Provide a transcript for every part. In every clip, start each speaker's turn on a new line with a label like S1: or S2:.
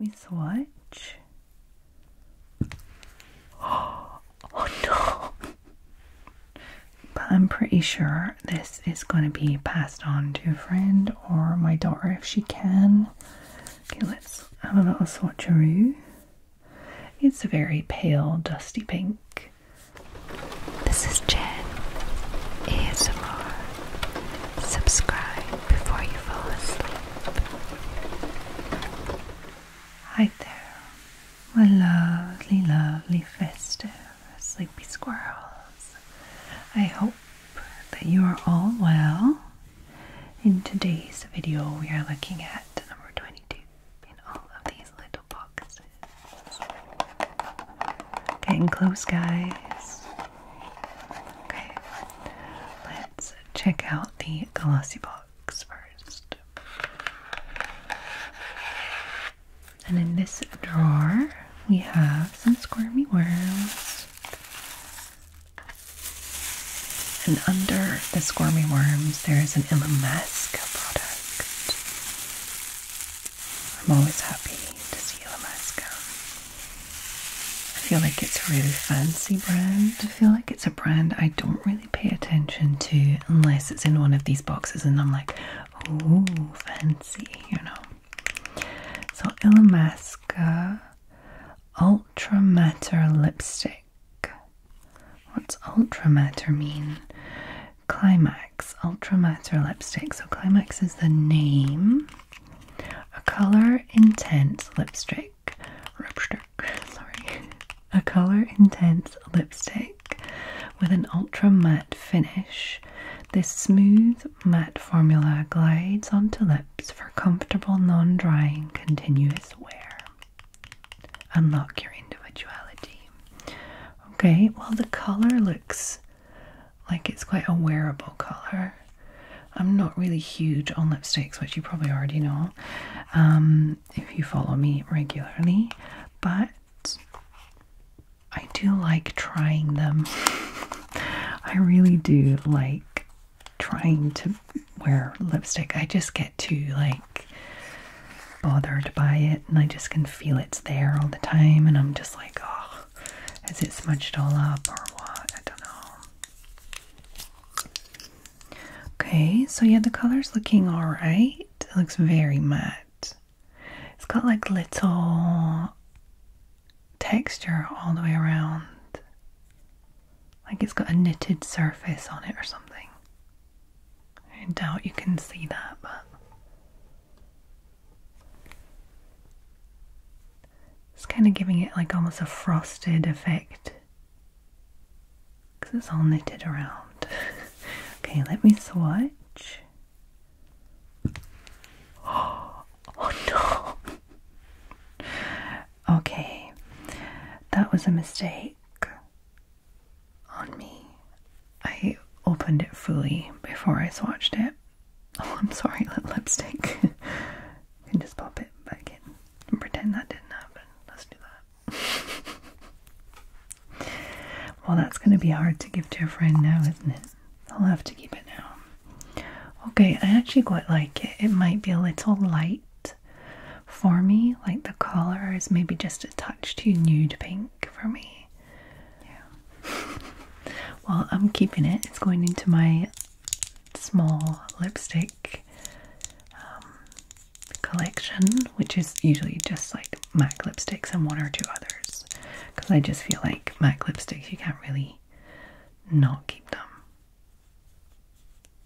S1: Let me swatch. Oh, no! but I'm pretty sure this is going to be passed on to a friend or my daughter if she can. Okay, let's have a little swatcheroo. It's a very pale, dusty pink. This is Jen ASMR, Subscribe before you fall asleep. Hi there, my lovely, lovely, festive, sleepy squirrels. I hope that you are all well. In today's video, we are looking at number 22 in all of these little boxes. Getting close, guys. Okay, let's check out the glossy box first. And in this drawer, we have some squirmy worms. And under the squirmy worms, there is an Illamasqua product. I'm always happy to see Illamasqua. I feel like it's a really fancy brand. I feel like it's a brand I don't really pay attention to unless it's in one of these boxes and I'm like, oh, fancy, you know. So, Illamasqua Ultra Matter Lipstick. What's Ultra Matter mean? Climax Ultra Matter Lipstick. So, Climax is the name. A color intense lipstick. Sorry. A color intense lipstick with an ultra matte finish. This smooth matte formula glides onto lips for comfortable, non drying, continuous wear. Unlock your individuality. Okay, well, the color looks like it's quite a wearable color. I'm not really huge on lipsticks, which you probably already know um, if you follow me regularly, but I do like trying them. I really do like trying to wear lipstick. I just get too like bothered by it and I just can feel it's there all the time and I'm just like, oh, has it smudged all up or what? I don't know. Okay, so yeah, the color's looking alright. It looks very matte. It's got like little texture all the way around. Like it's got a knitted surface on it or something. I doubt you can see that, but it's kind of giving it like almost a frosted effect because it's all knitted around. okay, let me swatch. Oh, no! okay, that was a mistake on me. I opened it fully before I swatched it. Oh, I'm sorry, lip lipstick. you can just pop it back in and pretend that didn't happen. Let's do that. well, that's going to be hard to give to a friend now, isn't it? I'll have to keep it now. Okay, I actually quite like it. It might be a little light for me, like the color is maybe just a touch too nude pink for me. Yeah. well, I'm keeping it. It's going into my small lipstick um, collection, which is usually just like MAC lipsticks and one or two others. Because I just feel like MAC lipsticks, you can't really not keep them.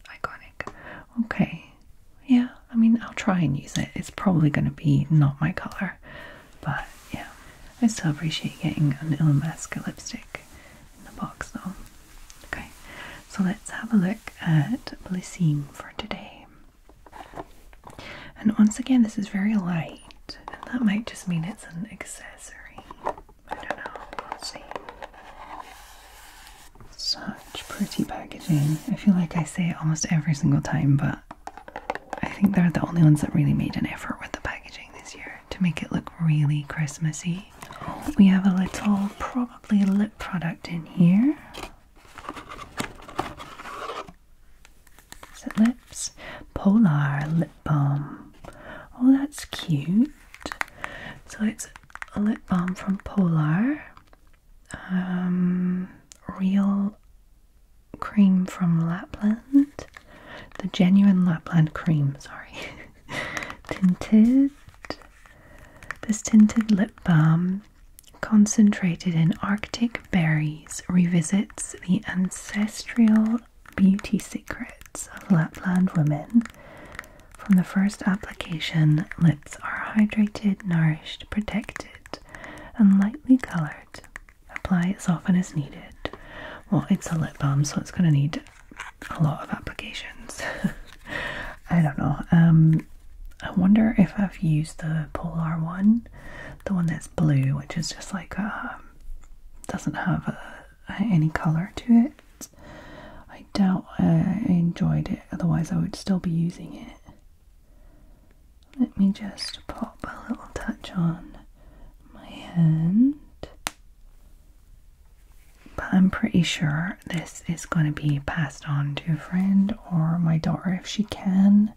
S1: Iconic. Okay. Yeah, I mean, I'll try and use it. It's probably going to be not my color. But yeah, I still appreciate getting an Illamasqua lipstick in the box though. Okay, so let's have a look at Blissine for today. And once again, this is very light, and that might just mean it's an accessory. I don't know, see. Such pretty packaging. I feel like I say it almost every single time, but I think they're the only ones that really made an effort with the packaging this year to make it look really Christmassy. we have a little, probably lip product in here. it lips? Polar lip balm. Oh, that's cute. So it's a lip balm from Polar. Um, real cream from Lapland, the genuine Lapland cream, sorry, tinted. This tinted lip balm, concentrated in Arctic berries, revisits the ancestral beauty secrets of Lapland women. From the first application, lips are hydrated, nourished, protected, and lightly coloured. Apply as often as needed. Well, it's a lip balm, so it's going to need a lot of applications. I don't know. Um, I wonder if I've used the Polar one, the one that's blue, which is just like uh, doesn't have uh, any color to it. I doubt I enjoyed it, otherwise, I would still be using it. Let me just pop a little touch on my hand. But I'm pretty sure this is going to be passed on to a friend or my daughter if she can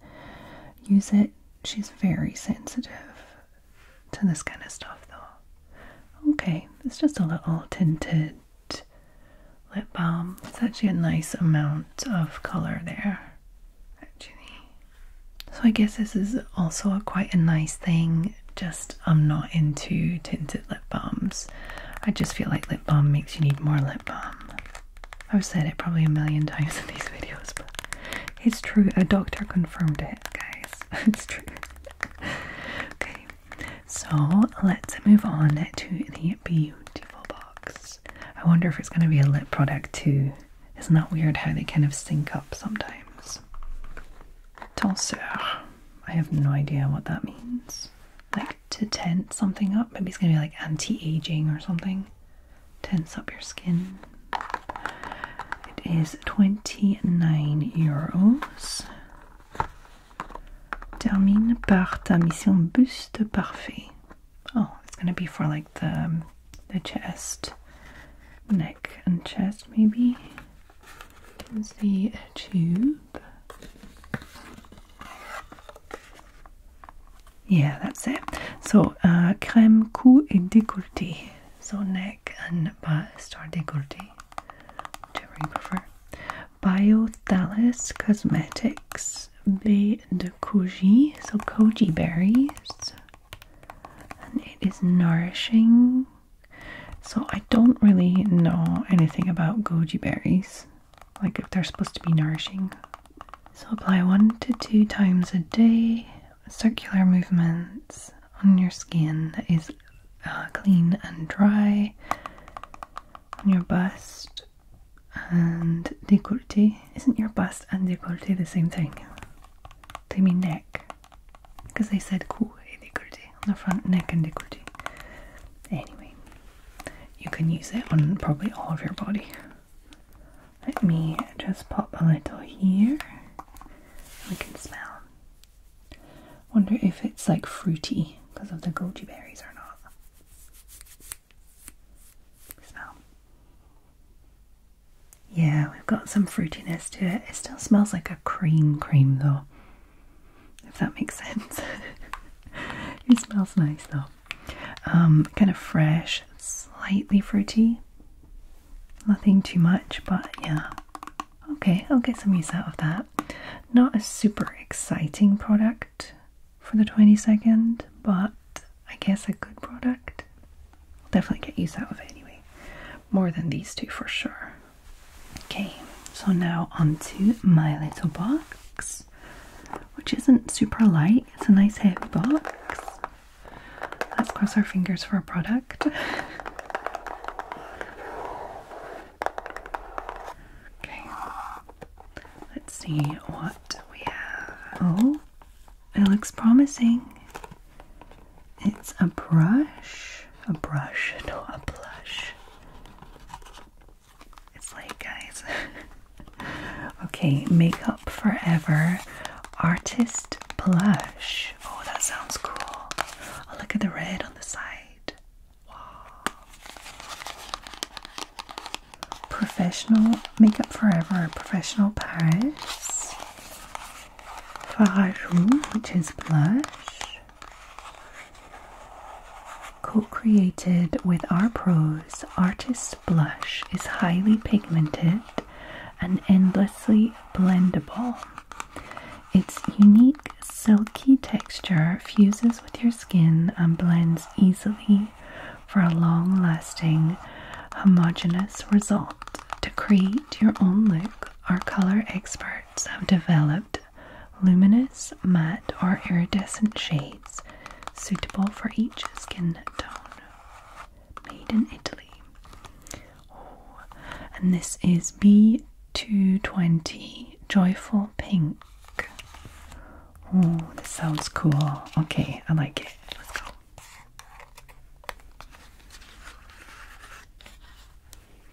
S1: use it. She's very sensitive to this kind of stuff though. Okay, it's just a little tinted lip balm. It's actually a nice amount of colour there, actually. So I guess this is also a, quite a nice thing. Just I'm not into tinted lip balms. I just feel like lip balm makes you need more lip balm. I've said it probably a million times in these videos, but it's true. A doctor confirmed it, guys. it's true. okay, so let's move on to the beautiful box. I wonder if it's going to be a lip product too. Isn't that weird how they kind of sync up sometimes? Tenseur. I have no idea what that means. Like to tense something up. Maybe it's gonna be like anti-aging or something. Tense up your skin. It is 29 euros. Termine par ta mission buste parfait. Oh, it's gonna be for like the um, the chest, neck and chest maybe. Here's the tube. Yeah, that's it. So, uh, crème cou et décolleté. So neck and bust or décolleté, whichever you prefer. Biothalus Cosmetics is de koji, so koji berries, and it is nourishing. So I don't really know anything about goji berries, like if they're supposed to be nourishing. So apply one to two times a day, circular movements on your skin is uh, clean and dry, on your bust, bust and décolleté. Isn't your bust and décolleté the same thing? They mean neck. Because they said cou et eh, on the front, neck and décolleté. Anyway, you can use it on probably all of your body. Let me just pop a little here. We can smell. Wonder if it's like fruity because of the goji berries or not. Smell. Yeah, we've got some fruitiness to it. It still smells like a cream cream though, if that makes sense. it smells nice though. Um, kind of fresh, slightly fruity. Nothing too much, but yeah. Okay, I'll get some use out of that. Not a super exciting product for the 22nd, but I guess a good product. I'll definitely get used out of it anyway. More than these two for sure. Okay, so now onto my little box, which isn't super light. It's a nice heavy box. Let's cross our fingers for a product. okay, let's see what we have. Oh, it looks promising. It's a brush, a brush, no, a blush. It's like, guys. okay, Makeup Forever Artist Blush. Oh, that sounds cool. Oh, look at the red on the side. Wow. Professional Makeup Forever, Professional Paris, Farajou, which is blush, co-created with our pros, Artist Blush is highly pigmented and endlessly blendable. Its unique silky texture fuses with your skin and blends easily for a long lasting, homogeneous result. To create your own look, our color experts have developed luminous, matte, or iridescent shades suitable for each skin tone. Made in Italy. Oh, and this is B220 Joyful Pink. Oh, this sounds cool. Okay, I like it. Let's go.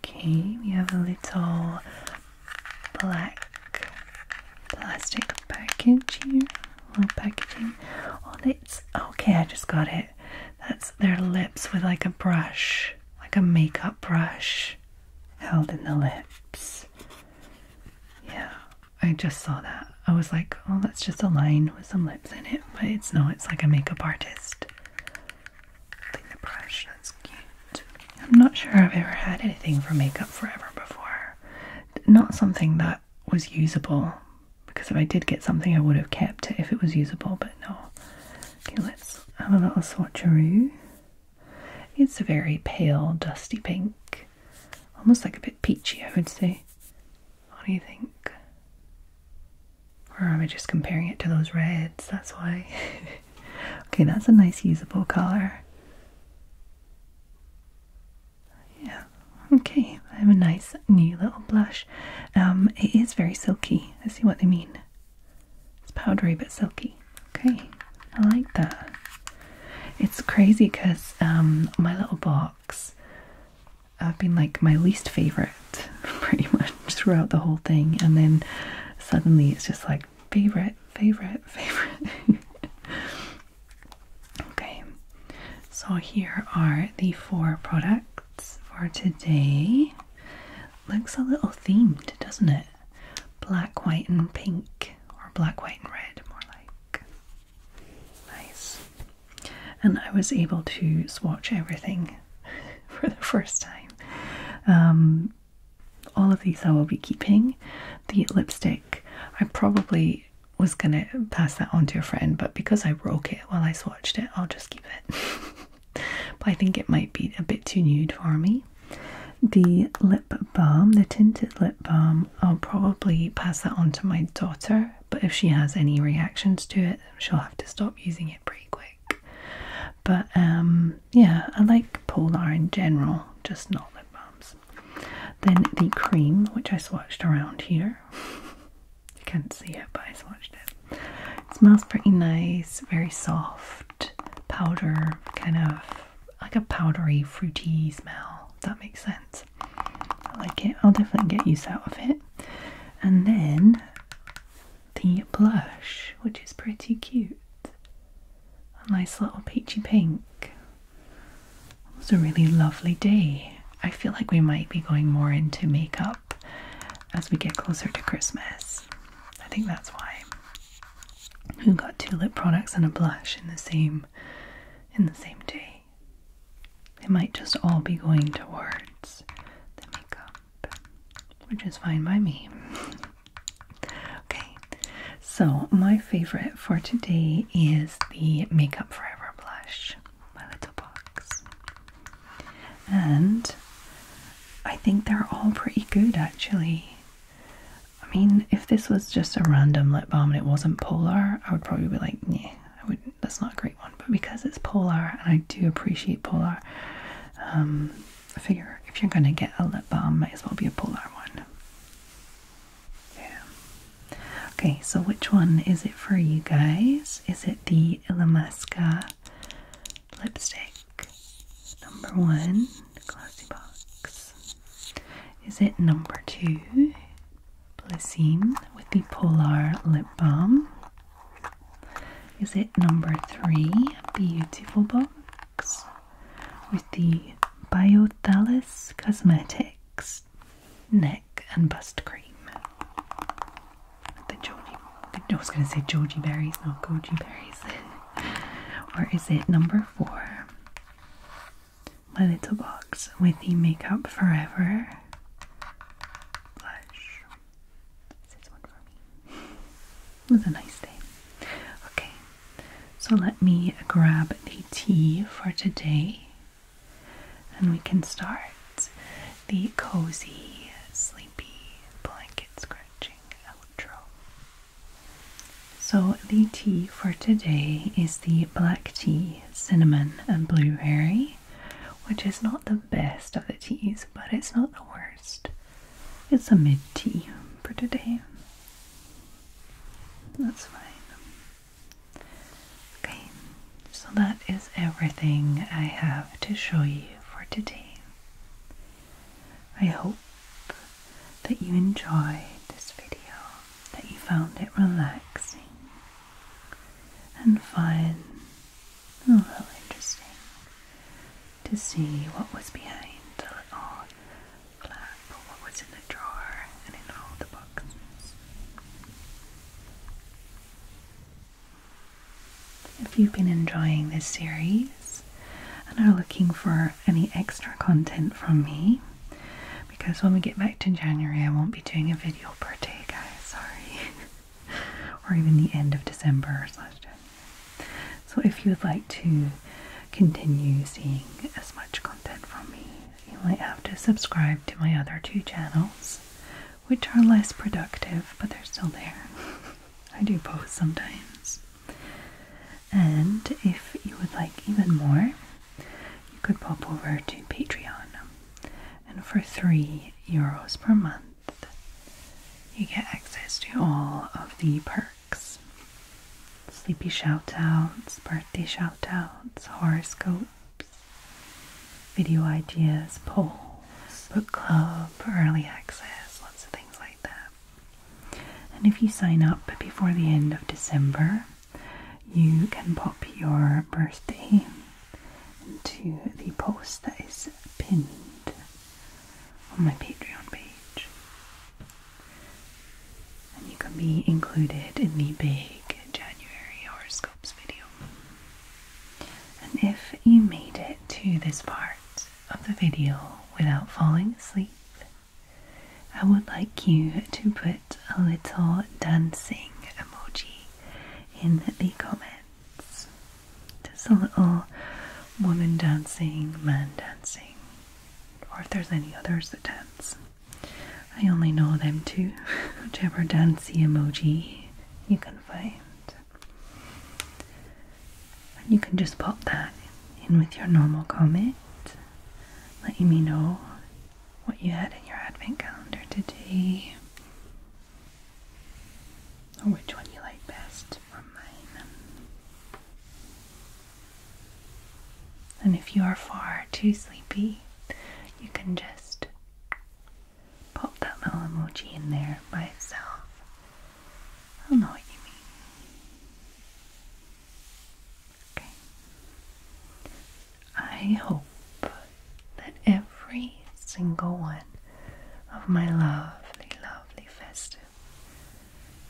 S1: Okay, we have a little black plastic package here. Little packaging. Oh, it's okay. I just got it. That's their lips with like a brush, like a makeup brush held in the lips. Yeah, I just saw that. I was like, oh, that's just a line with some lips in it, but it's no, it's like a makeup artist. the brush, that's cute. I'm not sure I've ever had anything for makeup forever before. Not something that was usable, because if I did get something, I would have kept it if it was usable, but no. Okay, let's have a little swatcheroo. It's a very pale, dusty pink, almost like a bit peachy, I would say. What do you think? Or am I just comparing it to those reds? That's why. okay, that's a nice usable color. Yeah, okay. I have a nice new little blush. Um, it is very silky. I see what they mean. It's powdery but silky. Okay, I like that. It's crazy because um, my little box, I've been like my least favorite pretty much throughout the whole thing, and then suddenly it's just like favorite, favorite, favorite. okay, so here are the four products for today. Looks a little themed, doesn't it? black, white, and pink, or black, white, and red, more like. Nice. And I was able to swatch everything for the first time. Um, all of these I will be keeping. The lipstick, I probably was gonna pass that on to a friend, but because I broke it while I swatched it, I'll just keep it. but I think it might be a bit too nude for me. The lip balm, the tinted lip balm, I'll probably pass that on to my daughter, but if she has any reactions to it, she'll have to stop using it pretty quick. But um, yeah, I like Polar in general, just not lip balms. Then the cream, which I swatched around here. you can't see it, but I swatched it. It smells pretty nice, very soft, powder kind of like a powdery, fruity smell. that makes sense. I like it. I'll definitely get use out of it. And then the blush, which is pretty cute. A nice little peachy pink. It was a really lovely day. I feel like we might be going more into makeup as we get closer to Christmas. I think that's why who got two lip products and a blush in the same in the same day. They might just all be going towards the makeup, which is fine by me. okay, so my favorite for today is the Makeup Forever blush, my little box, and I think they're all pretty good actually. I mean, if this was just a random lip balm and it wasn't polar, I would probably be like, yeah, I would. That's not a great one. But because it's polar, and I do appreciate polar, um, I figure if you're gonna get a lip balm, might as well be a polar one. Yeah. Okay, so which one is it for you guys? Is it the Illamasqua lipstick? number one, Glossy Box. Is it number two, Blissine with the Polar Lip Balm? Is it number three, Beautiful Box with the Biothalis Cosmetics Neck and Bust Cream? The Georgie, I was going to say Georgie Berries, not Goji Berries. or is it number four? My little box with the Makeup Forever blush. This one for me. it was a nice day. Okay, so let me grab the tea for today and we can start the cozy, sleepy blanket scratching outro. So, the tea for today is the black tea, cinnamon, and blueberry, which is not the best of the teas, but it's not the worst. It's a mid tea for today. That's fine. Okay, so that is everything I have to show you for today. I hope that you enjoyed this video, that you found it relaxing and fun, a little interesting to see what was behind the little flap, what was in the drawer and in all the boxes. If you've been enjoying this series, and are looking for any extra content from me because when we get back to January, I won't be doing a video per day, guys. Sorry, or even the end of December slash So, if you would like to continue seeing as much content from me, you might have to subscribe to my other two channels, which are less productive, but they're still there. I do post sometimes. And if you would like even more, you could pop over to Patreon. And for three euros per month, you get access to all of the perks sleepy shout outs, birthday shout outs, horoscopes, video ideas, polls, book club, early access, lots of things like that. And if you sign up before the end of December, you can pop your birthday into the post that is pinned on my Patreon page. And you can be included in the big January horoscopes video. And if you made it to this part, of the video without falling asleep, I would like you to put a little dancing emoji in the comments. Just a little woman dancing, man dancing, or if there's any others that dance. I only know them two, whichever dancey emoji you can find. And you can just pop that in with your normal comment, letting me know what you had in your advent calendar today, or which one you like best from mine. And if you are far too sleepy, you can just pop that little emoji in there by itself I know what you mean. Okay. I hope that every single one of my lovely, lovely festive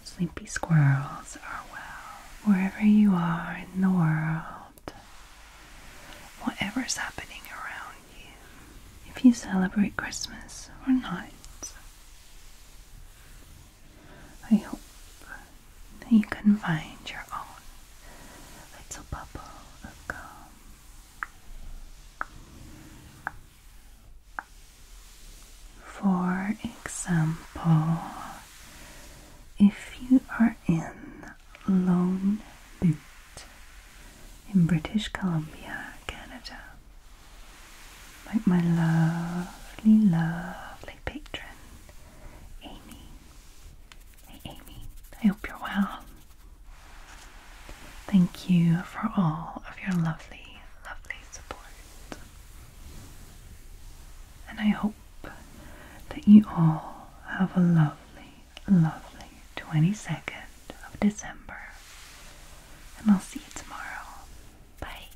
S1: sleepy squirrels are well wherever you are in the world. Whatever's happening around if you celebrate Christmas or not. I hope that you can find your own little bubble of calm. For example, if you are in Lone Butte in British Columbia, Canada, like my lovely, lovely patron, Amy. Hey Amy, I hope you're well. Thank you for all of your lovely, lovely support. And I hope that you all have a lovely, lovely 22nd of December. And I'll see you tomorrow. Bye.